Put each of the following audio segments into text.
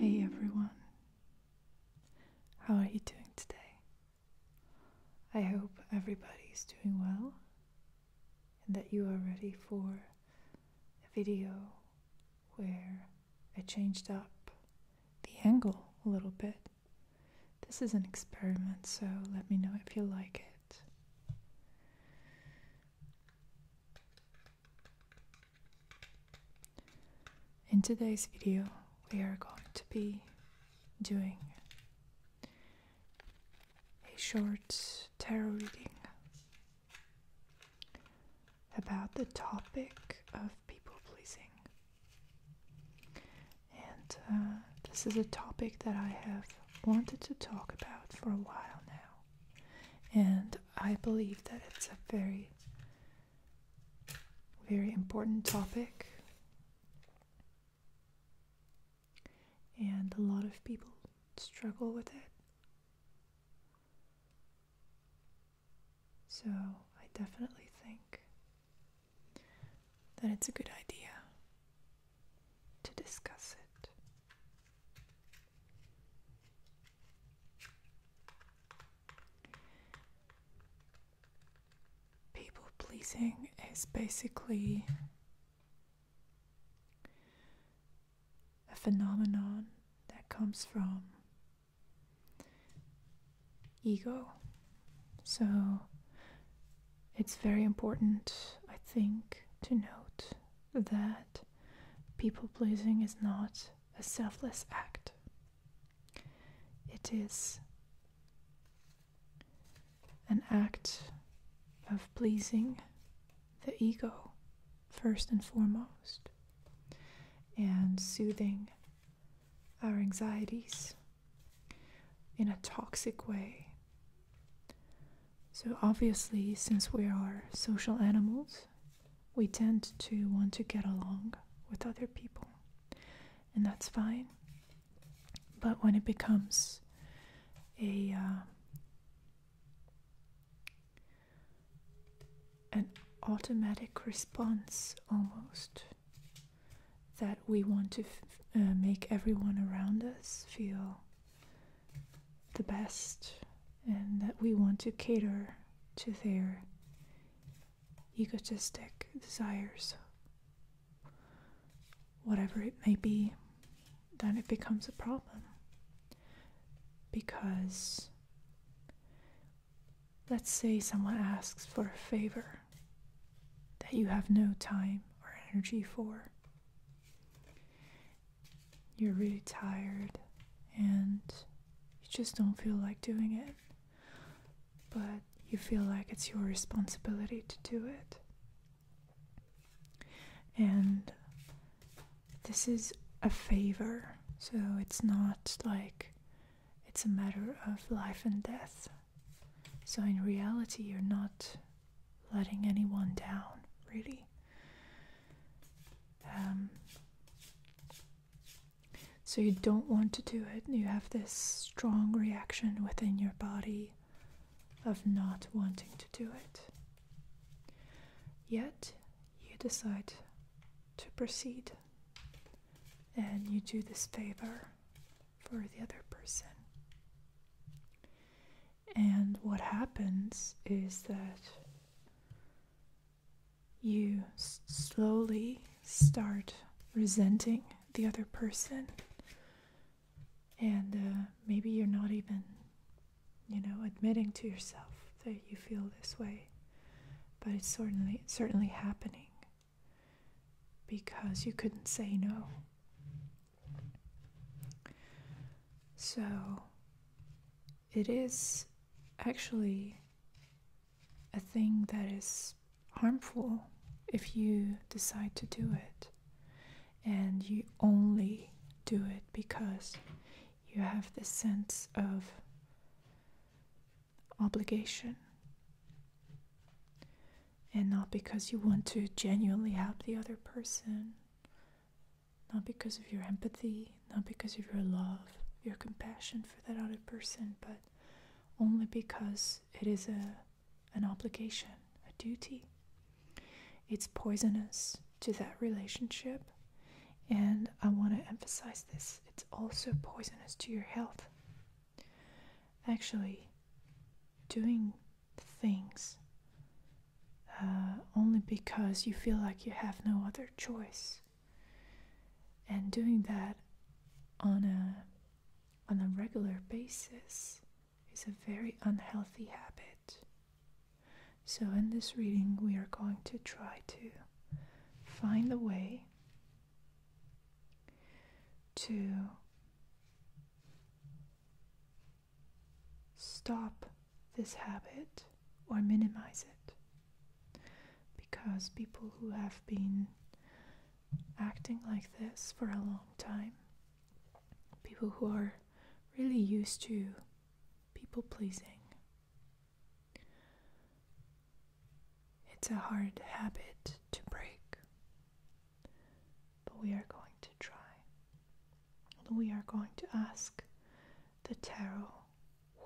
Hey everyone, how are you doing today? I hope everybody is doing well and that you are ready for a video where I changed up the angle a little bit. This is an experiment, so let me know if you like it. In today's video, we are going to be doing a short tarot reading about the topic of people pleasing. And uh, this is a topic that I have wanted to talk about for a while now. And I believe that it's a very, very important topic. And a lot of people struggle with it. So I definitely think that it's a good idea to discuss it. People pleasing is basically a phenomenon that comes from ego. So it's very important, I think, to note that people pleasing is not a selfless act, it is an act of pleasing the ego first and foremost and soothing our anxieties in a toxic way. So, obviously, since we are social animals, we tend to want to get along with other people, and that's fine. But when it becomes a uh, an automatic response almost that we want to uh, make everyone around us feel the best and that we want to cater to their egotistic desires whatever it may be then it becomes a problem because Let's say someone asks for a favor that you have no time or energy for. You're really tired and you just don't feel like doing it, but you feel like it's your responsibility to do it. And this is a favor, so it's not like it's a matter of life and death. So, in reality, you're not letting anyone down, really. Um, so, you don't want to do it. You have this strong reaction within your body of not wanting to do it. Yet, you decide to proceed and you do this favor for the other person. And what happens is that you slowly start resenting the other person, and uh, maybe you're not even, you know, admitting to yourself that you feel this way but it's certainly certainly happening because you couldn't say no. So it is actually a thing that is harmful if you decide to do it and you only do it because you have the sense of obligation and not because you want to genuinely help the other person, not because of your empathy, not because of your love, your compassion for that other person, but only because it is a an obligation, a duty. It's poisonous to that relationship, and I want to emphasize this. It's also poisonous to your health. Actually, doing things uh, only because you feel like you have no other choice, and doing that on a on a regular basis is a very unhealthy habit. So, in this reading, we are going to try to find the way to stop this habit or minimize it. Because people who have been acting like this for a long time, people who are really used to people pleasing, it's a hard habit to break, but we are going to try. We are going to ask the tarot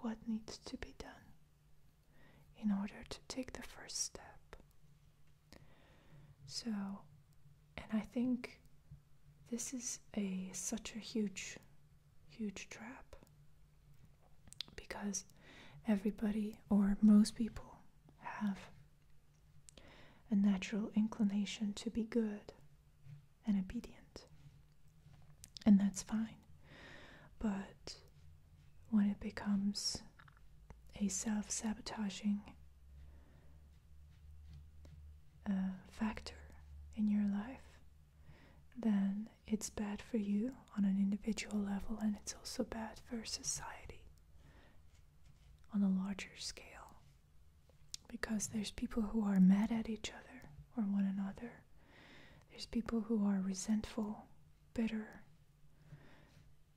what needs to be done in order to take the first step. So, and I think this is a such a huge huge trap because everybody or most people have a natural inclination to be good and obedient. And that's fine. But when it becomes a self sabotaging uh, factor in your life, then it's bad for you on an individual level and it's also bad for society on a larger scale because there's people who are mad at each other or one another there's people who are resentful bitter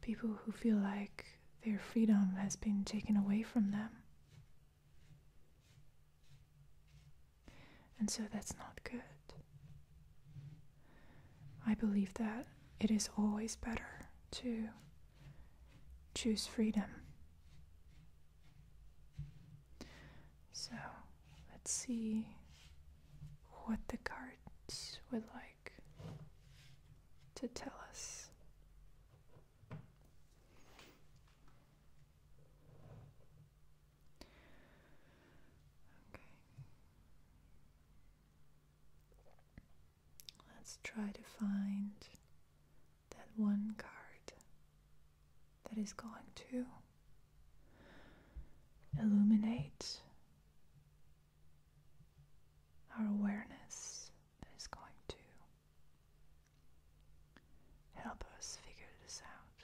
people who feel like their freedom has been taken away from them and so that's not good. I believe that it is always better to choose freedom. So let's see what the cards would like to tell us. Okay. Let's try to find that one card that is going to illuminate our awareness that is going to help us figure this out.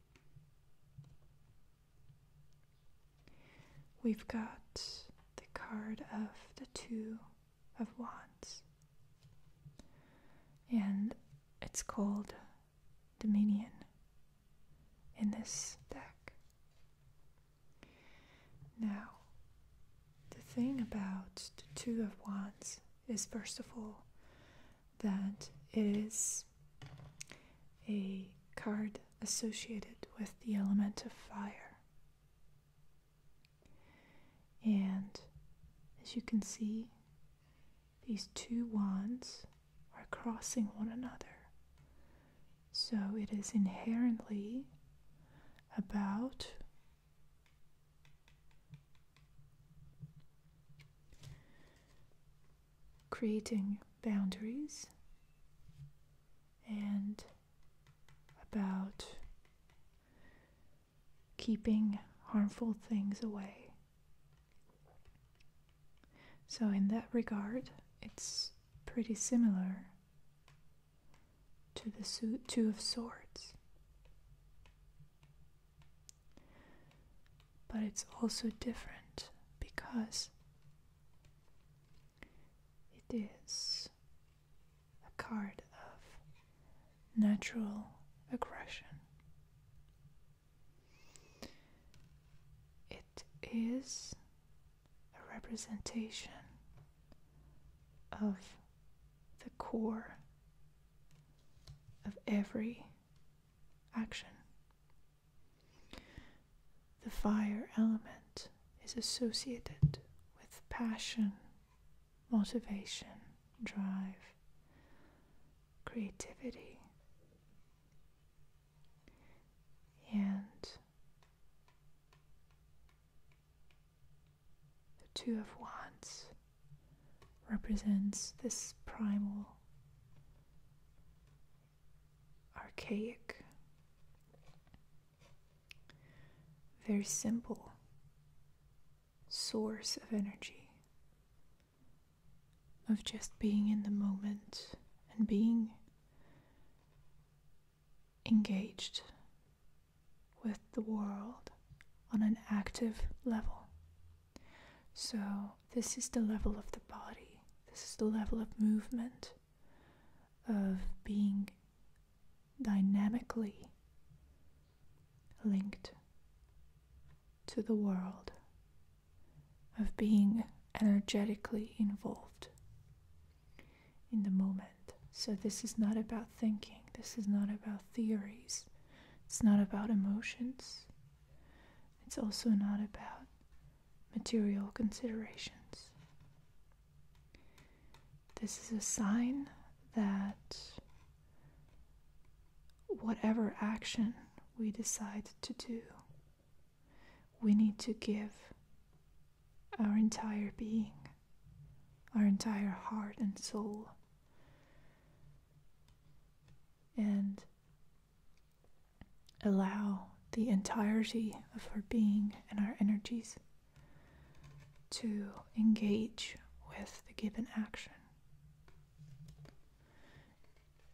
We've got the card of the Two of Wands, and it's called Dominion in this deck. Now, the thing about the Two of Wands is, first of all, that it is a card associated with the element of fire. And as you can see, these two wands are crossing one another. So it is inherently about creating boundaries and about keeping harmful things away. So, in that regard, it's pretty similar to the Two of Swords. But it's also different because it is a card of natural aggression. It is a representation of the core of every action. The fire element is associated with passion, motivation, drive, creativity, and the Two of Wands represents this primal, archaic, very simple source of energy, of just being in the moment and being engaged with the world on an active level. So, this is the level of the body, this is the level of movement, of being dynamically linked to the world, of being energetically involved in the moment. So, this is not about thinking, this is not about theories, it's not about emotions, it's also not about material considerations. This is a sign that whatever action we decide to do, we need to give our entire being, our entire heart and soul and allow the entirety of our being and our energies to engage with the given action.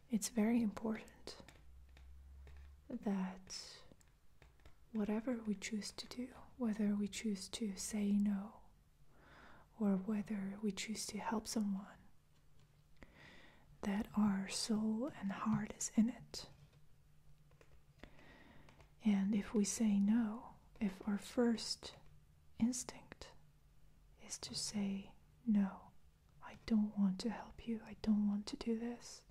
It's very important that whatever we choose to do, whether we choose to say no or whether we choose to help someone, that our soul and heart is in it. And if we say no, if our first instinct is to say, No, I don't want to help you, I don't want to do this,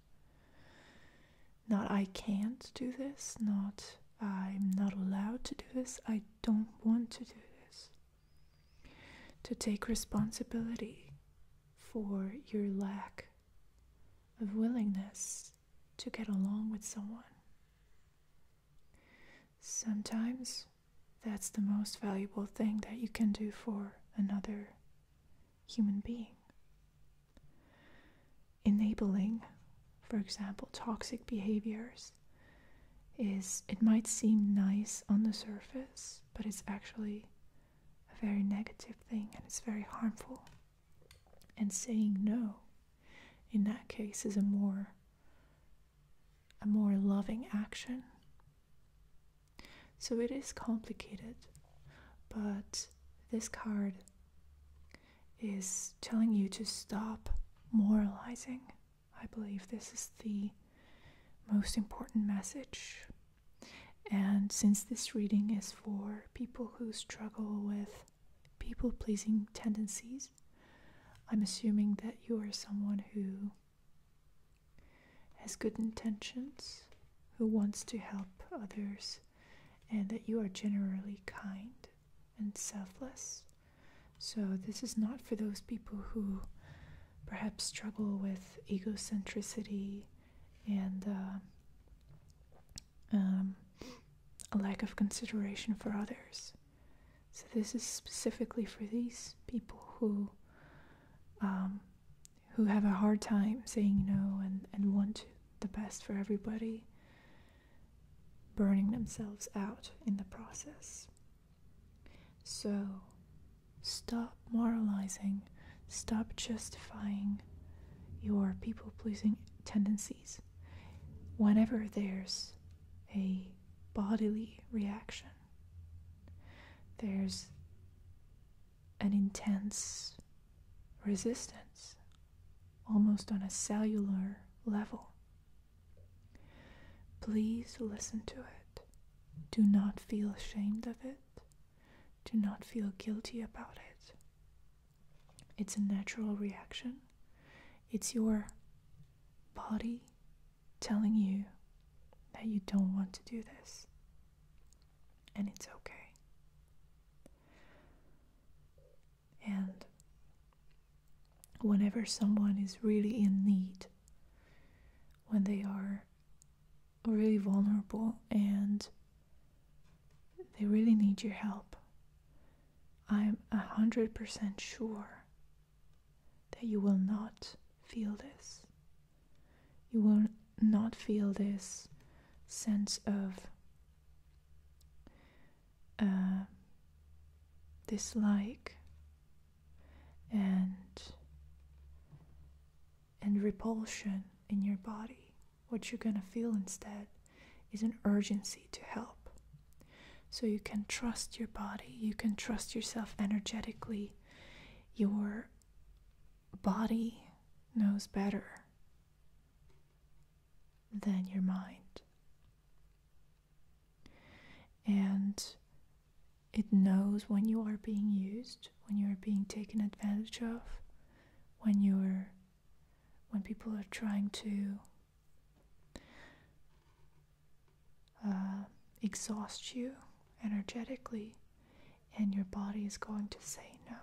not I can't do this, not I'm not allowed to do this, I don't want to do this to take responsibility for your lack of willingness to get along with someone. Sometimes that's the most valuable thing that you can do for another human being. Enabling, for example, toxic behaviors is it might seem nice on the surface, but it's actually a very negative thing and it's very harmful. And saying no in that case is a more a more loving action. So it is complicated, but this card is telling you to stop moralizing I believe this is the most important message. And since this reading is for people who struggle with people pleasing tendencies, I'm assuming that you are someone who has good intentions, who wants to help others, and that you are generally kind and selfless. So, this is not for those people who perhaps struggle with egocentricity and uh, um, a lack of consideration for others. So, this is specifically for these people who. Um, who have a hard time saying no and, and want the best for everybody, burning themselves out in the process. So, stop moralizing, stop justifying your people pleasing tendencies whenever there's a bodily reaction. There's an intense resistance, almost on a cellular level Please listen to it. Do not feel ashamed of it. Do not feel guilty about it. It's a natural reaction. It's your body telling you that you don't want to do this. And it's okay. And whenever someone is really in need, when they are really vulnerable and they really need your help, I'm a hundred percent sure that you will not feel this. You will not feel this sense of uh, dislike and and repulsion in your body what you're gonna feel instead is an urgency to help so you can trust your body you can trust yourself energetically your body knows better than your mind and it knows when you are being used, when you are being taken advantage of, when you're when people are trying to uh, exhaust you energetically, and your body is going to say no.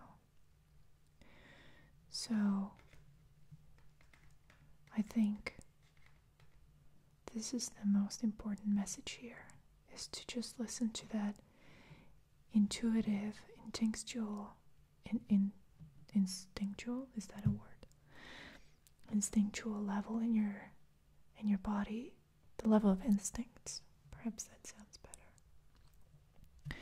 So I think this is the most important message here is to just listen to that intuitive, instinctual, instinctual is that a word? Instinctual level in your in your body, the level of instincts. Perhaps that sounds better.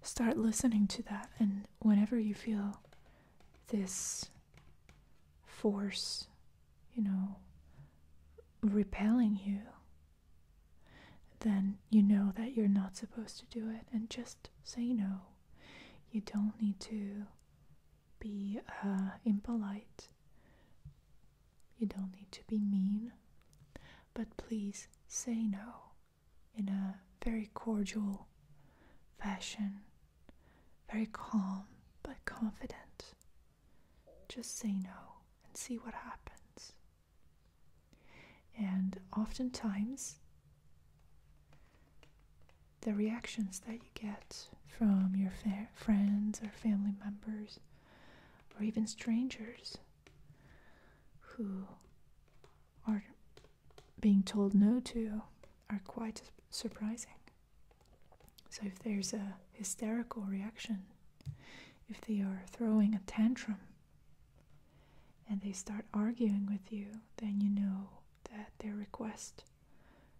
Start listening to that, and whenever you feel this force, you know, repelling you, then you know that you're not supposed to do it and just say no. You don't need to be uh, impolite. You don't need to be mean. But please say no in a very cordial fashion very calm but confident. Just say no and see what happens. And oftentimes, the reactions that you get from your friends or family members or even strangers who are being told no to are quite surprising. So, if there's a hysterical reaction, if they are throwing a tantrum and they start arguing with you, then you know that their request,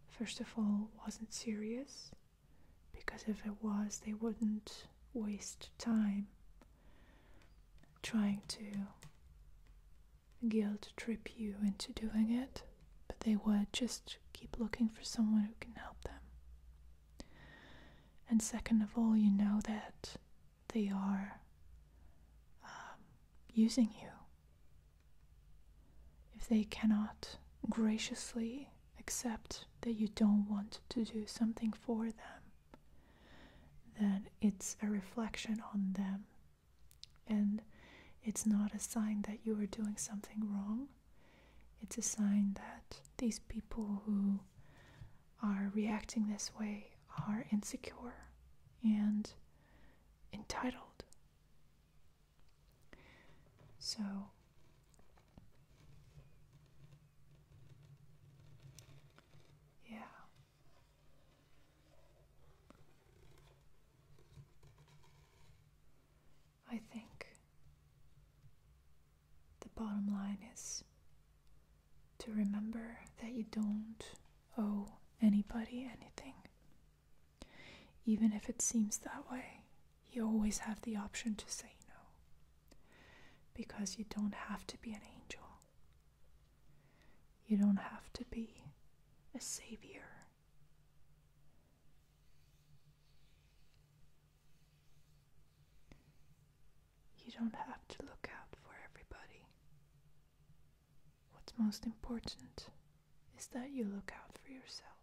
first of all, wasn't serious, because if it was, they wouldn't waste time trying to guilt trip you into doing it, but they would just keep looking for someone who can help them. And second of all, you know that they are um, using you. If they cannot graciously accept that you don't want to do something for them, then it's a reflection on them and it's not a sign that you are doing something wrong. It's a sign that these people who are reacting this way are insecure and entitled. So, yeah, I think the bottom line is to remember that you don't owe anybody anything. Even if it seems that way, you always have the option to say no. Because you don't have to be an angel, you don't have to be a savior. You don't have to look out for everybody. What's most important is that you look out for yourself.